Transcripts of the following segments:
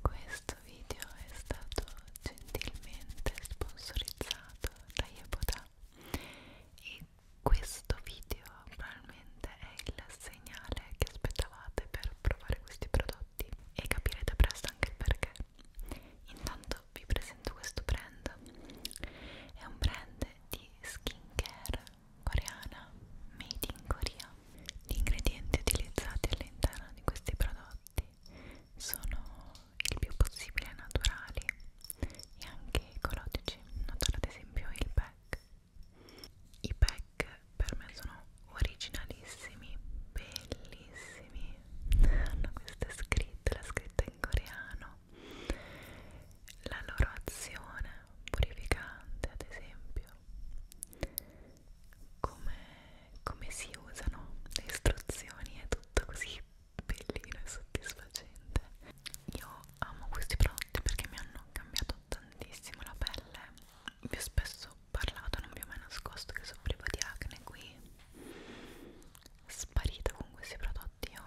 Questo video è stato gentilmente sponsorizzato da Yeboda e questo video probabilmente è il segnale che aspettavate per provare questi prodotti e capirete presto anche il perché. Intanto vi presento questo brand, è un brand di skincare coreana made in Korea. Gli ingredienti utilizzati all'interno di questi prodotti fatti sono il più possibile naturali e anche ecologici, noto ad esempio il pack. I pack per me sono originalissimi, bellissimi, hanno queste scritte, la scritta in coreano, la loro azione purificante ad esempio come, come si usano le istruzioni, è tutto così bellino e soddisfacente. Io amo questi prodotti perché mi hanno cambiato tantissimo la pelle. Vi ho spesso parlato, non vi ho mai nascosto che soffrivo di acne qui. Sparita con questi prodotti io.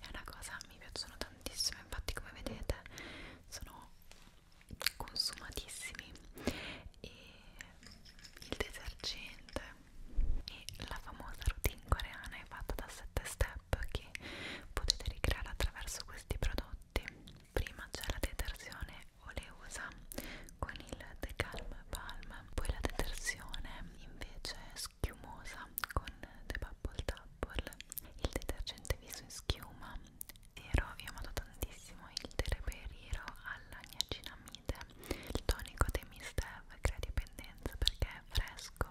è una cosa, mi piacciono tantissimo, infatti come vedete sono consumatissimi e il detergente e la famosa routine coreana è fatta da 7 step che potete ricreare attraverso questi prodotti prima c'è la detersione oleosa con il The Calm Palm poi la detersione invece schiumosa con The Bubble Double il detergente viso in schiuma ero, io ho amato tantissimo il Tereperiro alla niacinamide, il tonico dei Mistev crea dipendenza perché è fresco,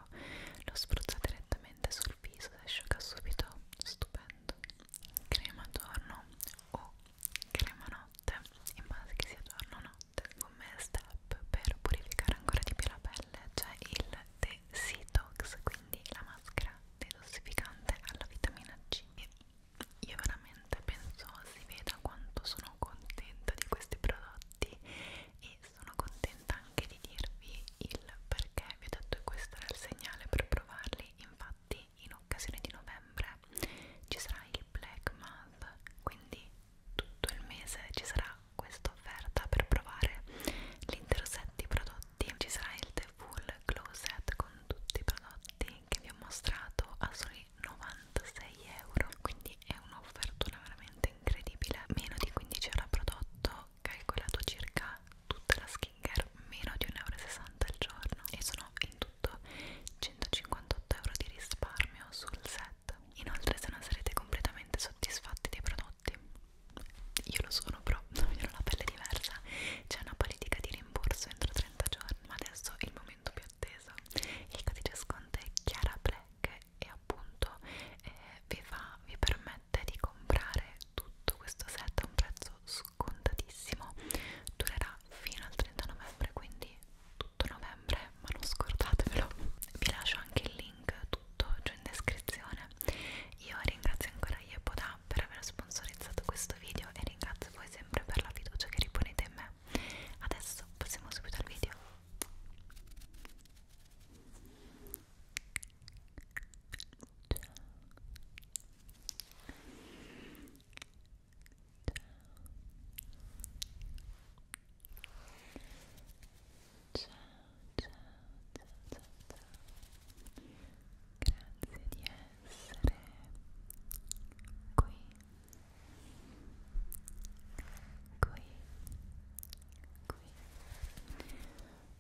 lo spruzza direttamente sul viso e asciuga subito, stupendo. Crema giorno o crema notte, in base che sia giorno o notte. Come step per purificare ancora di più la pelle c'è il The Detox, quindi la maschera detossificante alla vitamina C. E io veramente penso si veda quanto sono contenta di questi prodotti e sono contenta anche di dirvi il perché vi ho detto che questo era il segnale per provarli infatti in occasione di novembre ci sarà il Black Month quindi tutto il mese ci sarà questa offerta per provare l'intero set di prodotti prodotti ci sarà il The Full Closet con tutti i prodotti che vi ho mostrato a soli 96 euro quindi è un'offertona veramente incredibile meno di 15 euro a prodotto calcolato circa tutta la skincare meno di 1,60 euro al giorno e sono in tutto 158 euro di risparmio sul set inoltre se non sarete completamente soddisfatti dei prodotti io lo sono però, non ho la pelle diversa c'è una politica di rimborso entro 30 giorni. Ma adesso è il momento più atteso. Il codice sconto è Chiara Black e appunto eh, vi, fa, vi permette di comprare tutto questo set a un prezzo scontatissimo. Durerà fino al 30 novembre, quindi tutto novembre, ma non scordatevelo. Vi lascio anche il link tutto giù in descrizione. Io ringrazio ancora Yepoda Luca per aver sponsorizzato questo video e ringrazio voi sempre per la fiducia che riponete in me. Adesso passiamo subito al video. Ciao, ciao, ciao, ciao, ciao. Grazie di essere essere qui, qui, qui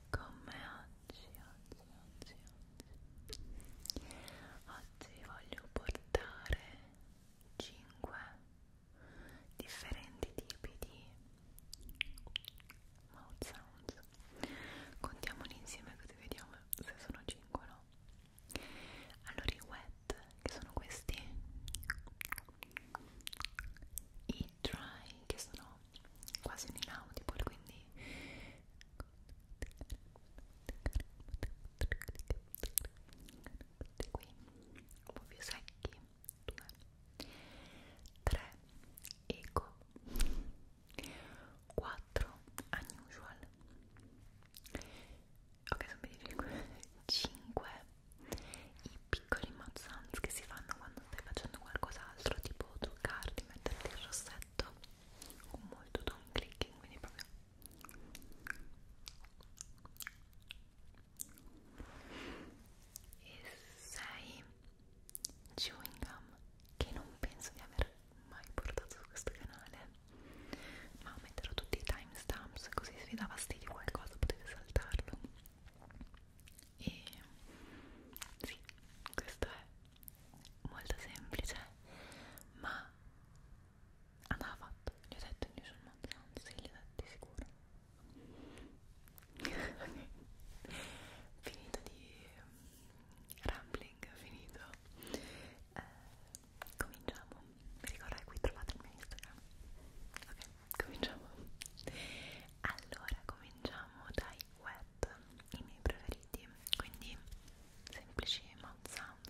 con me oggi, oggi, oggi, oggi. Oggi vi voglio portare 5 differenti tipi di mouth sounds Adesso contiamoli insieme così vediamo se sono 5 o no. Allora i wet, che sono questi, i dry, che sono quasi un inaudible, quindi qui un po' più secchi 2 3 eco 4 unusual ok sono 25 5 i piccoli mazzanz che si fanno quando stai facendo qualcos'altro tipo truccarti, metterti il rossetto con molto don clicking quindi proprio e 6 chewing gum che non penso di aver mai portato su questo canale ma metterò tutti i timestamps così se vi dà fastidio qualcosa potete saltarlo e sì, questo è molto semplice ma andava fatto, gli ho detto in Usual Month Sounds, sì, gli ho detto di sicuro finito di rambling finito eh, cominciamo mi ricordate qui trovate il mio instagram ok cominciamo allora cominciamo dai wet i miei preferiti quindi semplici mouth sounds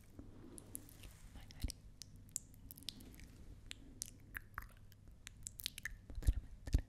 magari potrei mettere un pelo del genere anche da questa parte e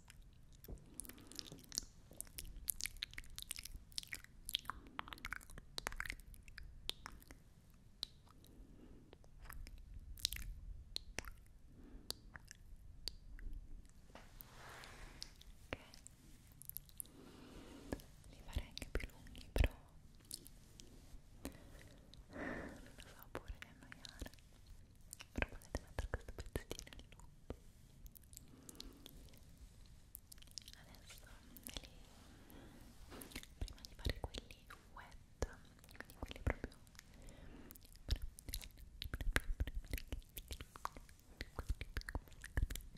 Li farei anche più lunghi, però non lo so pure di annoiare. Però potete mettere questo pezzettino in loop adesso li... prima di fare quelli wet quindi quelli proprio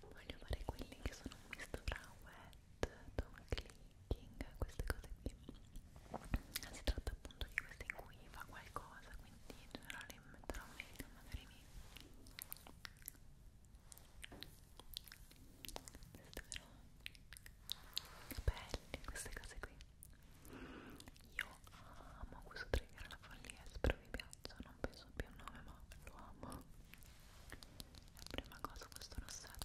voglio fare quelli che sono un misto tra wet, tongue clicking, queste cose qui si tratta appunto di questa in cui fa qualcosa quindi in generale metterò meglio magari mi testerò capelli queste cose qui io amo questo trigger la follia spero vi piaccia non penso più al nome ma lo amo la prima cosa questo rossetto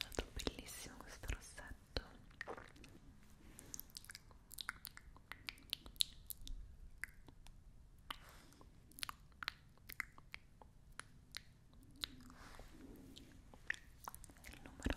Tanto bellissimo questo rossetto il numero il numero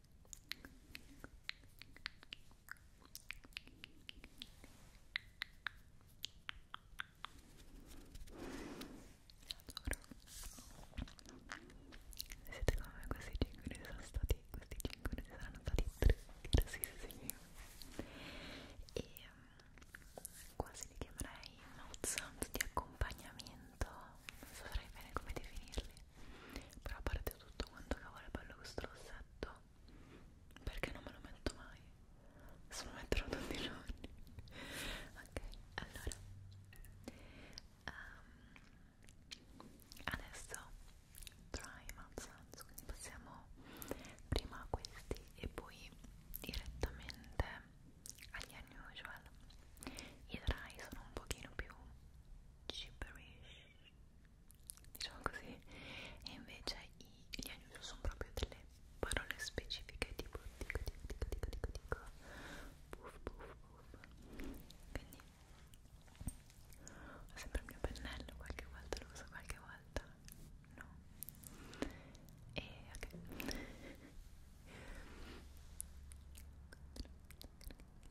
Siete come me, questi 5 minuti sono stati, questi 5 minuti saranno stati grassissimi e um, quasi li chiamerei mouth sound di accompagnamento, non saprei bene come definirli però a parte tutto quanto cavolo è bello questo rossetto perché non me lo metto mai se lo metterò tutti i giorni ok allora um, adesso prime absence quindi passiamo prima a questi e poi direttamente agli unusual i dry sono un pochino più gibberish diciamo così e invece i, gli unusual sono proprio delle parole specifiche tipo dico dico dico dico dico dico puff puff puff quindi ho sempre il mio pennello qualche volta lo uso qualche volta no e ok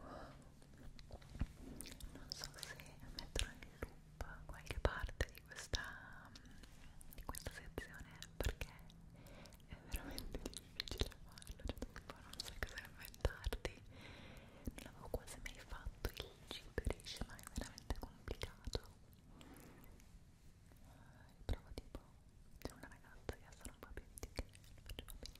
Wow. Non so se metterò in loop qualche parte di questa, di questa sezione perché è veramente difficile farlo, cioè tu un po' non sai cosa inventarti. Non l'avevo quasi mai fatto il gibberish, ma è veramente complicato. Riprovo eh, tipo, c'è una ragazza che ha solo un po' più di che, non faccio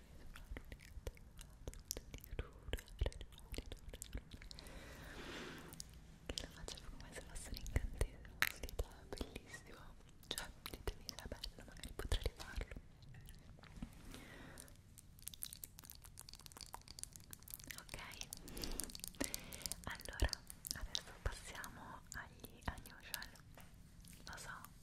che la facciamo come se fossero incantesimo dita bellissimo cioè ditemi se è bello magari potrei rifarlo ok allora adesso passiamo agli unusual lo so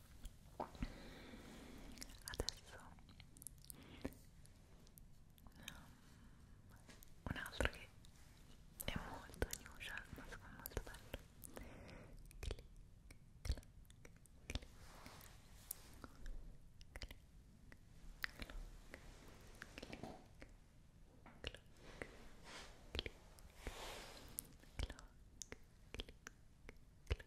adesso un altro che è molto unusual ma secondo me molto bello clic, clic, clic. Clic, clic. Clock, click, clock, click, clock,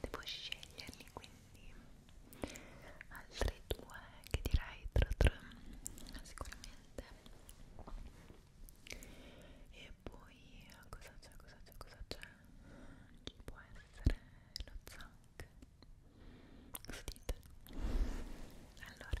devo sceglierli quindi altri due che direi tra tre sicuramente e poi cosa c'è cosa c'è cosa c'è ci può essere lo zank allora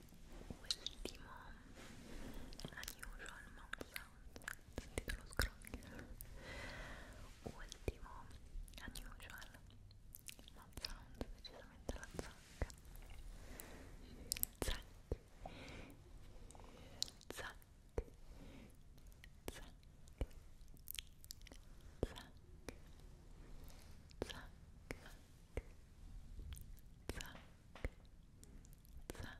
ultimo unusual mouth sound sentite lo scrunch ultimo unusual mouth sound decisamente la zacca zac zac zac zac zac zac zac zac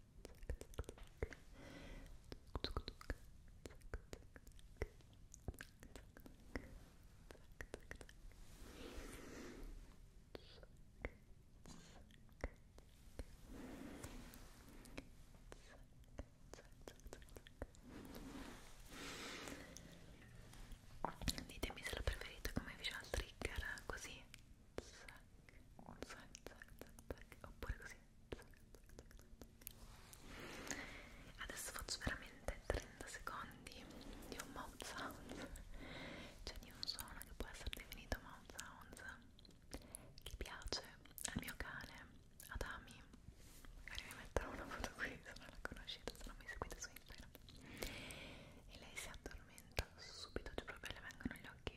Ditemi se lo preferite come visual trigger, così zac, zac, zac, zac, zac, oppure così adesso faccio veramente 30 secondi di un mouth sound cioè di un suono che può essere definito mouth sound che piace al mio cane Adami magari vi metterò una foto qui se non la conoscete se non mi seguite su Instagram e lei si addormenta subito, cioè proprio le vengono gli occhi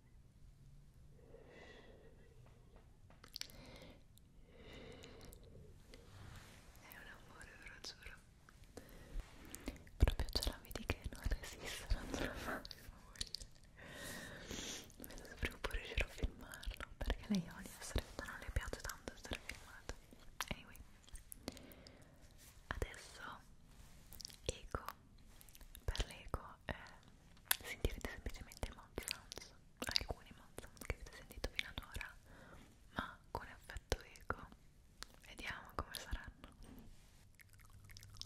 È un amore, ve lo giuro. Proprio ce la vedi che non resiste, non ce la fa Vedo se prima o poi riuscirò a filmarlo, perché lei odia essere filmata, non le piace tanto essere filmata. Anyway. Adesso Ego per l'ego eh, sentirete semplicemente i mouth sounds, alcuni mouth sounds che avete sentito fino ad ora, ma con effetto ego. Vediamo come saranno. Ecco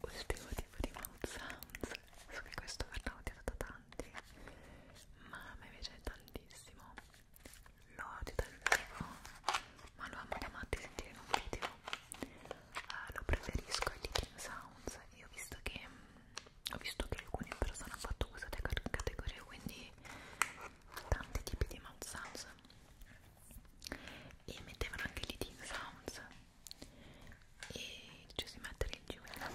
ultimo tipo di mouth sounds so che questo verrà odiato da tanti ma a me piace tantissimo lo odio dal vivo ma lo amo da matti sentire in un video uh, lo preferisco ai Little Sounds io ho visto che mh, mm, ho visto che alcune persone hanno fatto questa categoria quindi tanti tipi di mouth sounds e mettevano anche i Little Sounds e ci si mette il giù ok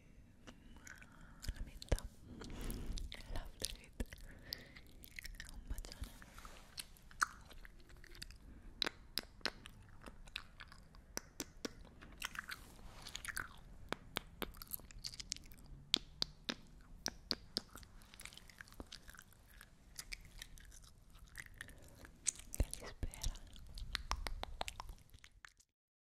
la menta love it un bacione che ti spera